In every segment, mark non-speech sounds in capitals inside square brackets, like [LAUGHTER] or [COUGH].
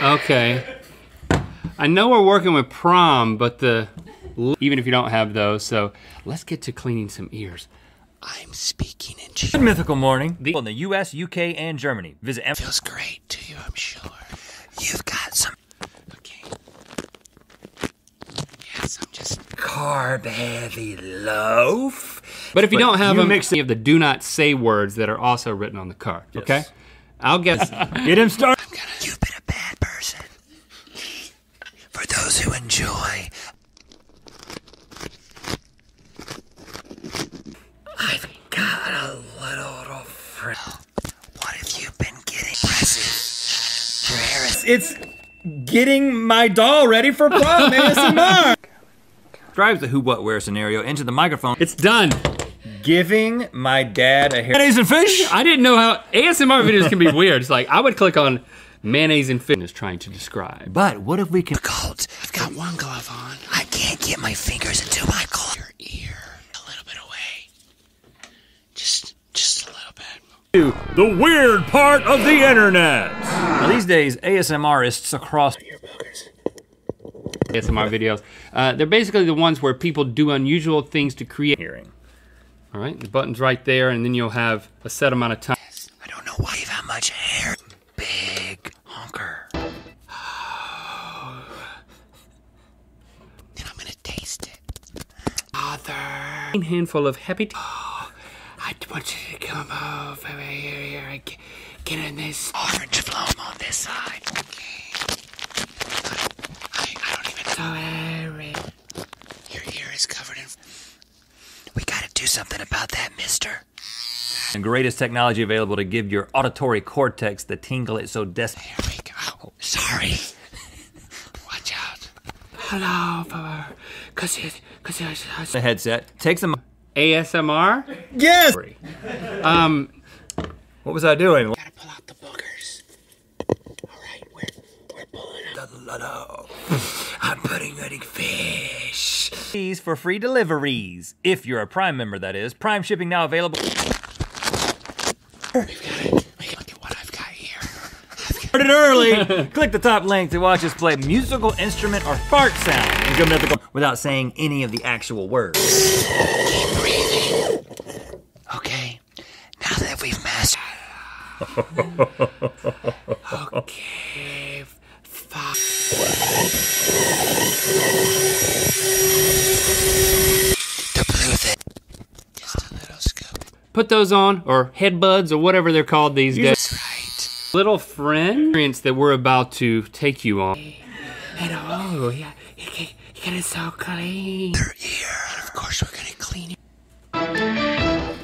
Okay. I know we're working with prom, but the, even if you don't have those, so let's get to cleaning some ears. I'm speaking in German. Mythical morning. The in the U.S., U.K., and Germany. Visit. M Feels great to you, I'm sure. You've got some. Okay. Yes, I'm just carb heavy loaf. But if you don't have you mix any of the do not say words that are also written on the card, okay? I'll guess. [LAUGHS] Get him started. For those who enjoy. I've got a little friend. What have you been getting? Presses. It's getting my doll ready for prom ASMR. [LAUGHS] Describes the who, what, where scenario into the microphone. It's done. Giving my dad a hair. Mayonnaise and fish. I didn't know how ASMR videos can be weird. It's like I would click on mayonnaise and fish is trying to describe. But what if we can? Cold. I've got one glove on. I can't get my fingers into my cold. Your ear, a little bit away. Just, just a little bit. The weird part of the internet. Now, these days, ASMRists across here, buggers. ASMR videos. Uh, they're basically the ones where people do unusual things to create hearing. All right, the button's right there, and then you'll have a set amount of time. Yes, I don't know why you have much hair. Big honker. and [SIGHS] I'm gonna taste it. Father. A handful of happy. Oh, [SIGHS] I want you to come over here again get, this orange phloem on this side. I, don't even know. Oh, Your ear is covered in. We gotta do something about that, mister. The greatest technology available to give your auditory cortex the tingle it so desperately. Here we go. Oh, sorry. Watch out. Hello, for, cause cause it's, it's, the headset Take some. ASMR? Yes. Um, what was I doing? Gotta pull out the boogers. I'm putting eating fish. These for free deliveries. If you're a Prime member, that is. Prime shipping now available. early. [LAUGHS] Click the top link to watch us just play musical instrument or fart sound and go without saying any of the actual words. Okay, now that we've mastered. okay, Put those on, or headbuds, or whatever they're called these days. Right. Little friend. Experience that we're about to take you on. And oh, yeah, you get it so clean. Their ear. And of course, we're gonna clean it.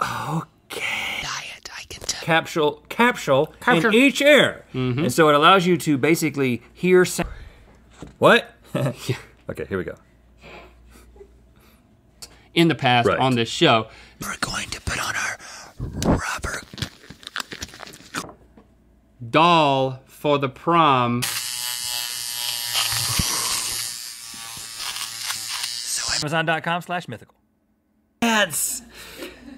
Okay. Diet, I can tell. Capsule, capsule, Capture. in each ear. Mm-hmm. And so it allows you to basically hear sound. What? [LAUGHS] Okay, here we go in the past on this show. We're going to put on our rubber doll for the prom. So Amazon.com slash mythical. That's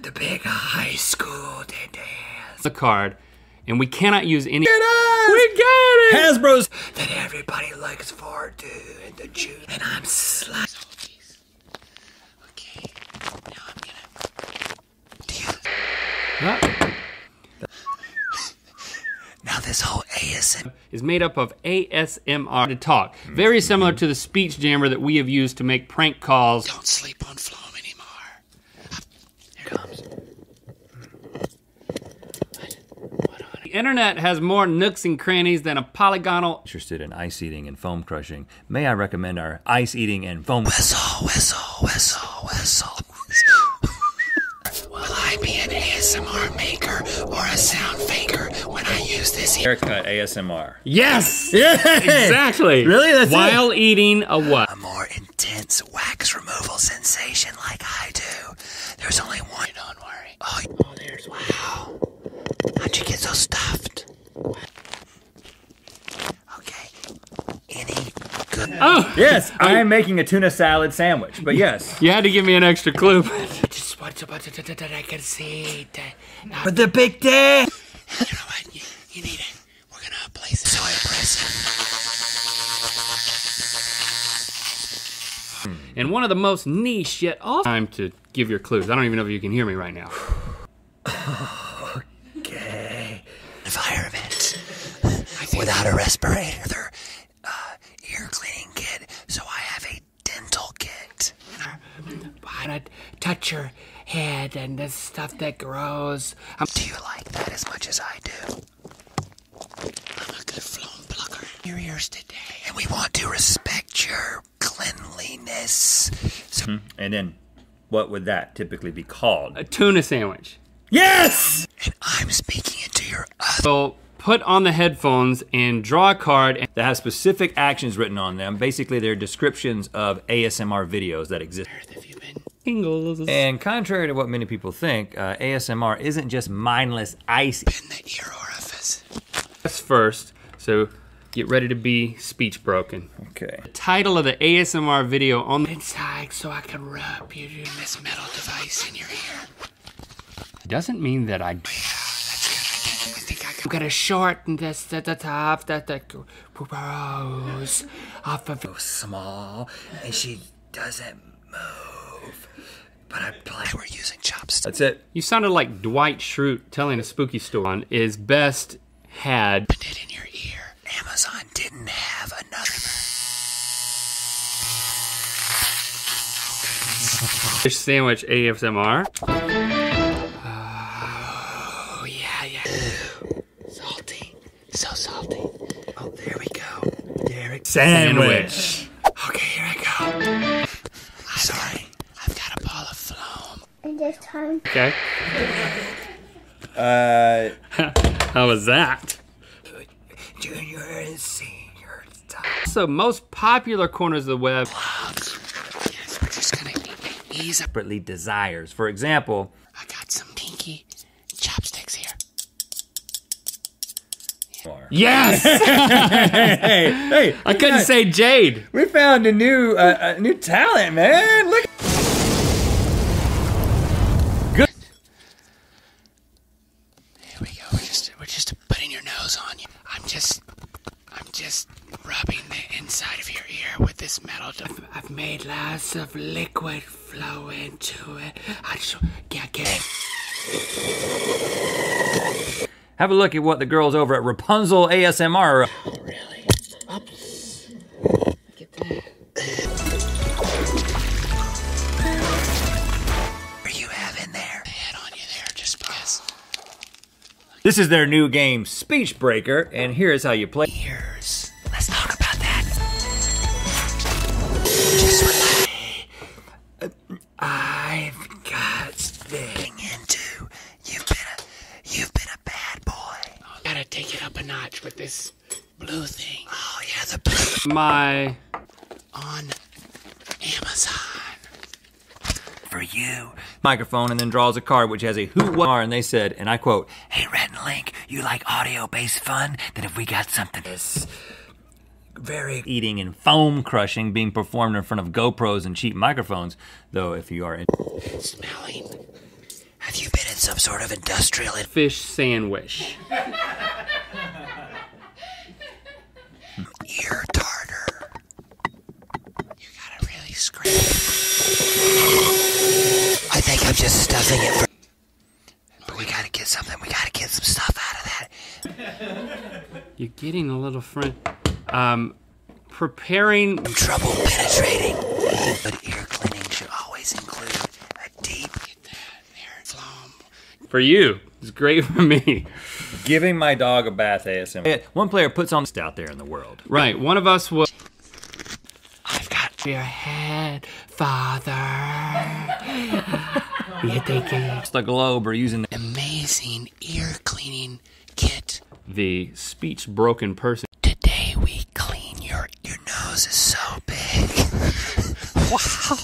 the big high school dance. a card. And we cannot use any. Get us! We got it! Hasbro's that everybody likes is for the Jew, and I'm sliced. Okay, now Now this whole ASMR is made up of ASMR to talk, very similar to the speech jammer that we have used to make prank calls. Don't sleep on Flom anymore. The internet has more nooks and crannies than a polygonal. Interested in ice eating and foam crushing, may I recommend our ice eating and foam. Whistle, whistle, whistle, whistle. Will I be an ASMR maker or a sound faker when I use this haircut ASMR? Yes! Exactly! Really? While eating a what? A more intense wax removal sensation like I do. There's only one. Don't worry. Oh, there's Wow. How'd you get so stuffed? Okay. Any Oh! Yes, oh. I am making a tuna salad sandwich, but yes. [LAUGHS] You had to give me an extra clue. [LAUGHS] I just want to, but I can see that. But the big day! You need it. We're gonna place it. So impressive. Hmm and one of the most niche yet off. Time to give your clues. I don't even know if you can hear me right now. [SIGHS] okay. Environment. Without a respirator, they uh, ear cleaning kit, so I have a dental kit. But to touch your head and this stuff that grows. Do you like that as much as I do? your ears today. And we want to respect your cleanliness. So- hmm, and then, what would that typically be called? A tuna sandwich. Yes! And I'm speaking into your other. So put on the headphones and draw a card that has specific actions written on them. Basically, they're descriptions of ASMR videos that exist. And contrary to what many people think, uh, ASMR isn't just mindless Ice In the ear orifice. first, so get ready to be speech broken. Okay. The title of the ASMR video on the inside so I can rub you this metal device in your ear. Doesn't mean that I do. I'm gonna shorten this the, the top that the grows off of so small and she doesn't move but I'm glad we're using chopsticks. That's it. You sounded like Dwight Schrute telling a spooky story on is best had. Put it in your ear. Amazon didn't have another. Fish sandwich ASMR. Oh, yeah, yeah. Salty. So salty. Oh, there we go. Derek. sandwich. Okay, here I go. I've Sorry. I've got a ball of phloem. And this time. Okay. Uh. [LAUGHS] How was that? Junior and senior time. So most popular corners of the web. Plugs. we're just gonna ease separately desires. For example. I got some pinky chopsticks here. Yes. [LAUGHS] hey, hey, I couldn't say Jade. We found a new uh, a new talent, man. Look. Good. Here we go. We're just we're just putting your nose on you. I'm just I'm just rubbing the inside of your ear with this metal. I've, made lots of liquid flow into it. I just yeah, get it. Have a look at what the girls over at Rapunzel ASMR are up. really? Up. Get that. Are you having there? Head on you there, just because. This is their new game, Speech Breaker, and here's how you play. Ears. Let's talk about that. Just uh, relax. I've got something to. You've been a, you've been a bad boy. Oh, gotta take it up a notch with this blue thing. Oh yeah, the blue. My on Amazon for you. Microphone and then draws a card which has a who, what, and they said, and I quote, Hey, Red Link, you like audio based fun? Then if we got something very eating and foam crushing being performed in front of GoPros and cheap microphones. Though, if you are in smelling, have you been in some sort of industrial fish sandwich? [LAUGHS] Ear tartar. You gotta really scream. I think I'm just stuffing it. but we gotta get something. We gotta get some stuff out of that. You're getting a little friend. Um, preparing. Trouble penetrating, but ear cleaning should always include a deep. Get flom. For you, it's great for me. Giving my dog a bath ASMR. One player puts on out there in the world. Right. One of us will. I've got your head, father you [LAUGHS] think it's the globe are using the amazing ear cleaning kit. The speech broken person. Today we clean your your nose is so big. wow.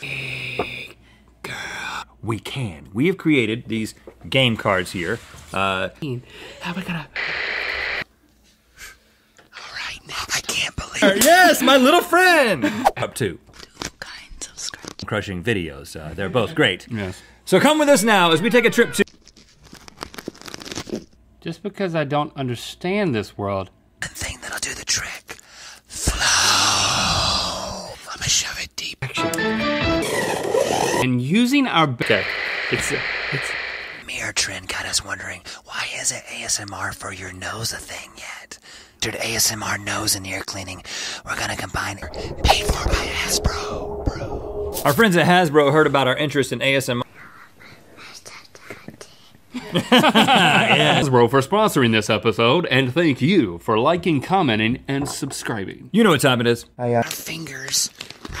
Big girl. We can. We have created these game cards here. Uh, how we gonna? All right, I can't believe. Uh, yes, my little friend. Up to. Crushing videos. Uh, they're both great. Yes. So come with us now as we take a trip to. Just because I don't understand this world. The thing that'll do the trick. Flow. Let me shove it deep. And using our. Okay. It's. It's. trend got us wondering why isn't ASMR for your nose a thing yet? ASMR nose and ear cleaning. We're gonna combine paid for by Hasbro. Our friends at Hasbro heard about our interest in ASMR. Hasbro for sponsoring this episode, and thank you for liking, commenting, and subscribing. You know what time it is. I, uh... Our fingers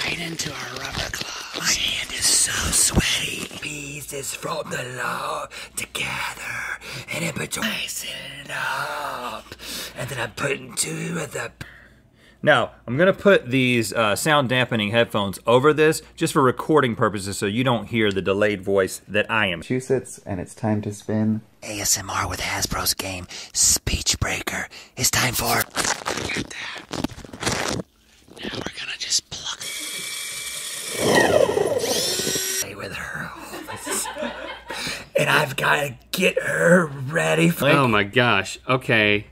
right into our rubber gloves. My hand is so sweaty. Peace is from the law together and then I'm putting two of the. Now, I'm gonna put these uh, sound dampening headphones over this just for recording purposes so you don't hear the delayed voice that I am. Massachusetts, and it's time to spin. ASMR with Hasbro's game, Speech Breaker. It's time for. [LAUGHS] and I've got to get her ready for. Oh my gosh. Okay.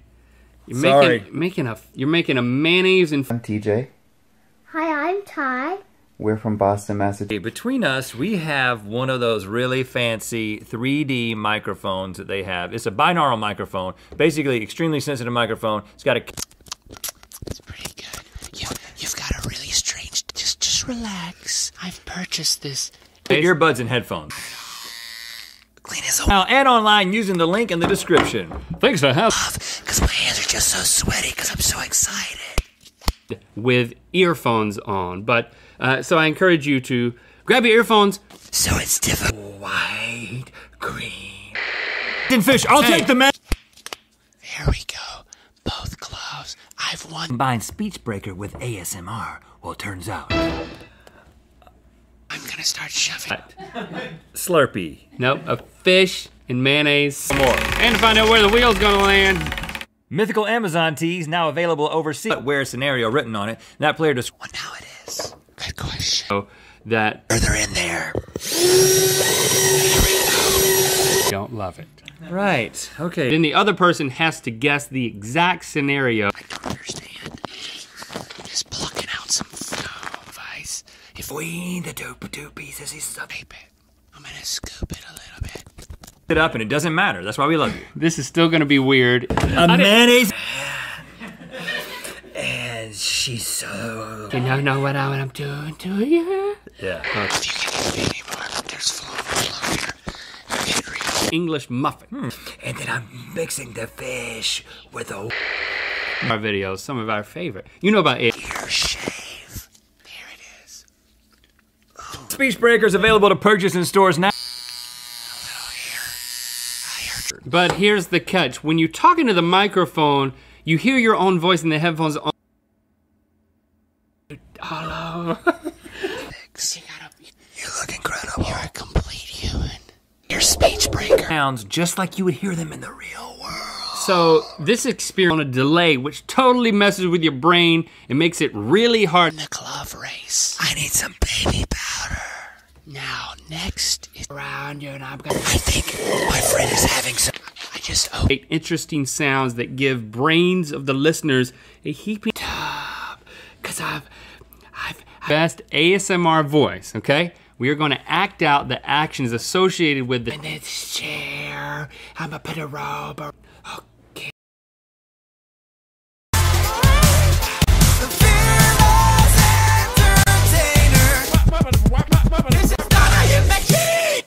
You're Sorry. Making, making a you're making a mayonnaise and. I'm TJ. Hi, I'm Ty. We're from Boston, Massachusetts. Between us, we have one of those really fancy 3D microphones that they have. It's a binaural microphone, basically extremely sensitive microphone. It's got a it's pretty good. You, have got a really strange. Just, just relax. I've purchased this. Earbuds and headphones. Clean his own. Now Add online using the link in the description. Thanks for having. Because my hands are just so sweaty. Because I'm so excited. With earphones on, but uh, so I encourage you to grab your earphones. So it's different. White, green. Fish. I'll take the man. Here we go. Both gloves. I've won. Combine speech breaker with ASMR. Well, it turns out. I'm gonna start shoving. Slurpee. Nope, a fish and mayonnaise. more. And to find out where the wheel's gonna land. Mythical Amazon tees now available overseas. But where scenario written on it, that player just. Well, now it is. Good question. So oh, that. Further in there. Don't love it. Right, okay. Then the other person has to guess the exact scenario. I don't understand. Just plucking out some advice. If we eat the two, two pieces, he's a baby. I'm gonna scoop it a little bit. It up and it doesn't matter. That's why we love you. This is still gonna be weird. A mayonnaise. and she's so. You don't know what I'm doing to you. Yeah. Uh, English muffin. Hmm. And then I'm mixing the fish with a. Our videos, some of our favorite. You know about it. shave. Oh. Speech Breakers available to purchase in stores now. But here's the catch. When you talk into the microphone, you hear your own voice in the headphones. Hello. [LAUGHS] you, look incredible. You're a complete human. Your speech breaker. Sounds just like you would hear them in the real world. So this experience on a delay, which totally messes with your brain and makes it really hard. In the glove race. I need some baby powder. Now next is around you and I'm gonna. I think my friend is having some. I just opened interesting sounds that give brains of the listeners a heaping tub. Cause I've, I've best ASMR voice, okay? We are gonna act out the actions associated with the- chair, i am going put a robe or,